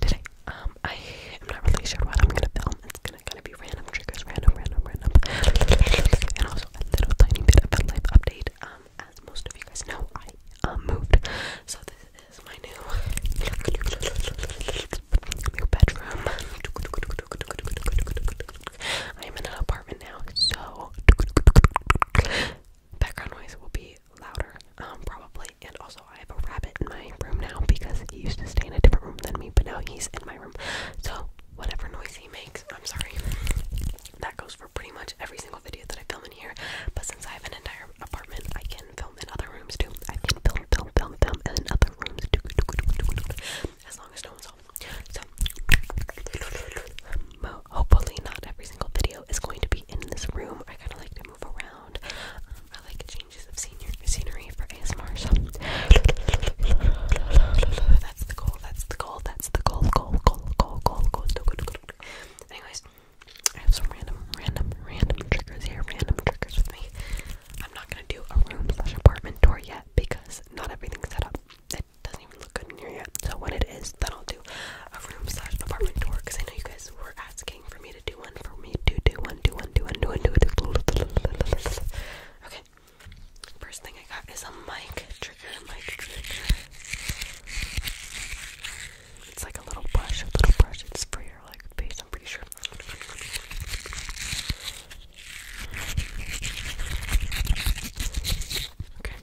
today. Um, I am not really sure what I'm gonna film. It's gonna kind of be random triggers, random, random, random, and also a little tiny bit of life update. Um, as most of you guys know, I um, moved, so this is my new new bedroom. I am in an apartment now, so background noise will be louder, um, probably. And also, I have a rabbit in my room now because he used to stay in a different room than me, but now he's in my room. So, whatever noise he makes, I'm sorry. That goes for pretty much every single video that I film in here. But since I have an entire apartment, I can film in other rooms too. I can film, film, film, film in other rooms too. As long as no one's home. So, hopefully not every single video is going to be in this room. I kind of like to move around. Um, I like changes of scenery for ASMR. So that's the goal. That's the goal. That's the goal. Goal. Goal. Goal. Goal. Goal. Anyways, I have some random, random, random triggers here. Random triggers with me. I'm not gonna do a room slash apartment tour yet because not everything's set up it doesn't even look good in here yet. So when it is, then I'll do a room slash apartment tour because I know you guys were asking for me to do one, for me to do one, do one, do one, do one, do one. Do one. Okay. First thing I got is a mic trigger, mic trigger. It's like a little brush, a little brush. It's for your like face. I'm pretty sure. Okay.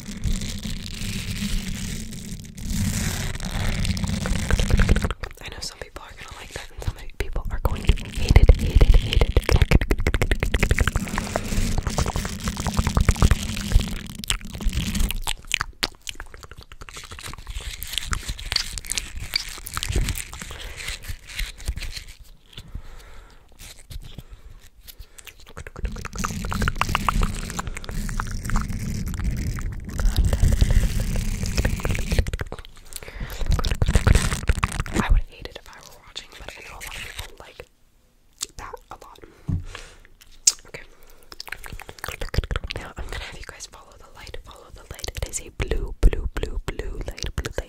I know some people are gonna like that and some people are going to hate it, hate it, hate it. I would hate it if I were watching, but I know a lot of people like that a lot. Okay. Now I'm gonna have you guys follow the light, follow the light. It is a blue, blue, blue, blue light, blue light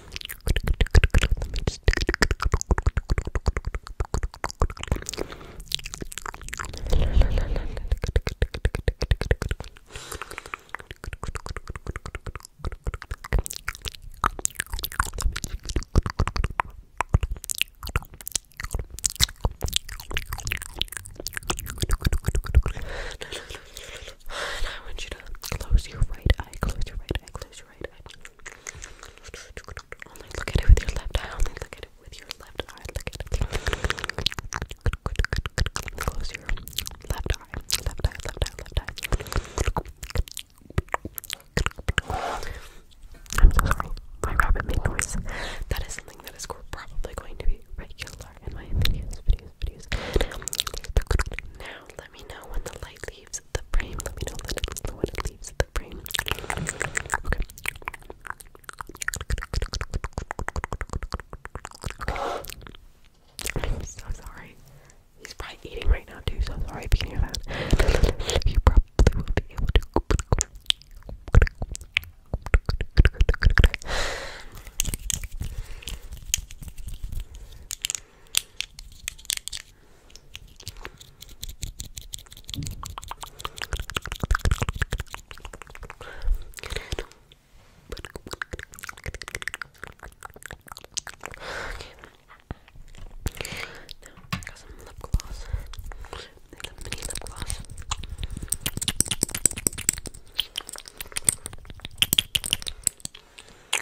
Let me just now I want you to close your right eye, close your right eye, close your right eye. Only look at it with your left eye. Only look at it with your left eye. Look at it. Close your left eye. Left eye, left eye, left eye. I'm so sorry. My rabbit made noise. That is something that is probably going to be regular in my videos, videos, videos. Now, let me know when the light leaves the frame. Let know the one that leaves the frame. Okay. so sorry. He's probably eating right now too, so sorry if you can hear that. Now, got some lip gloss. There's a mini lip gloss.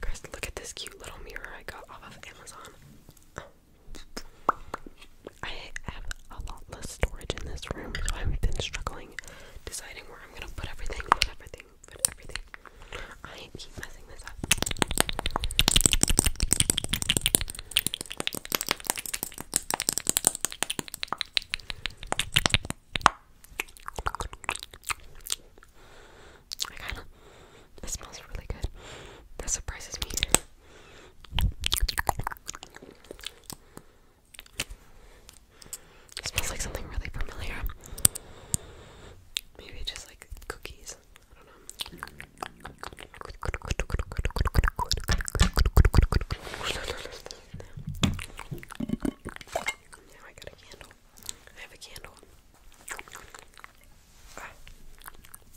Chris, look at this cute little mirror I got off of Amazon. I have a lot less storage in this room, so I've been struggling deciding where I'm gonna put everything, put everything, put everything. I keep messing this up. I smells really good. That surprises me. It smells like something really familiar. Maybe just like cookies. I don't know. Now I got a candle. I have a candle. Ah,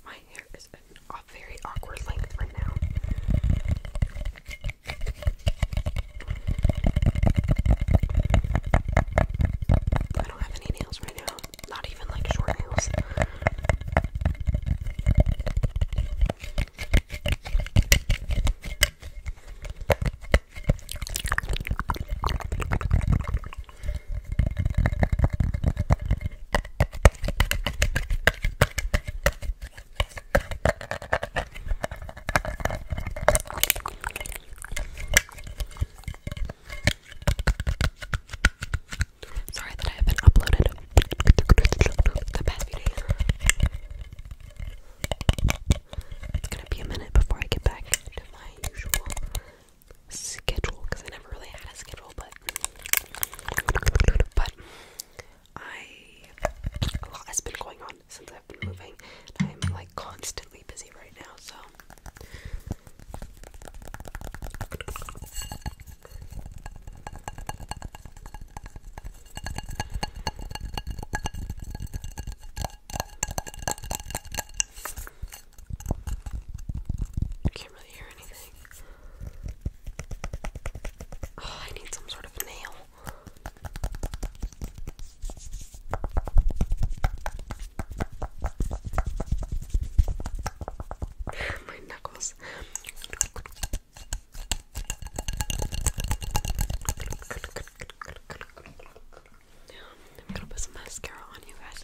my hair is a very awkward length right now. I don't have any nails right now. Not even like short nails. Sorry that I haven't uploaded the past few days. It's gonna be a minute before I get back to my usual schedule because I really had a schedule, but but I a lot has been going on since I've been moving. I'm like constantly busy right now, so I can't really hear anything. Oh, I need some sort of nail. My knuckles. Yeah, I'm gonna put some mascara on you guys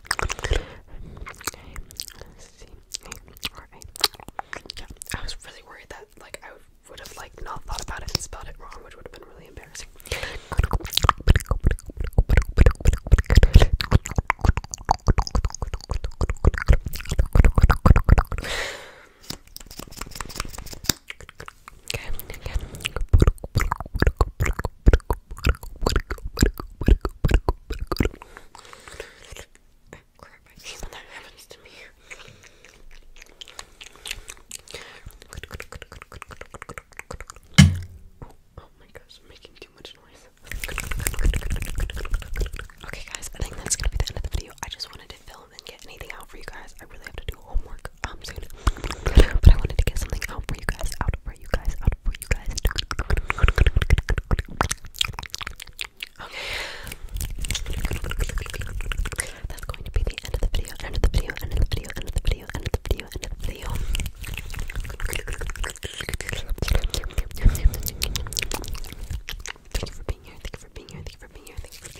I was really worried that like I would have like not thought about it and spelled it wrong, which would have been really embarrassing. Oh my gosh, making too much noise. Okay guys, I think that's gonna be the end of the video. I just wanted to film and get anything out for you guys. I really have to do homework um, but I wanted to get something out for you guys, out for you guys, out for you guys. That's going to be the end of the video, end of the video, end of the video, end of the video, end of the video, end of the video. Thank you for being here, thank you for being here, thank you for being here,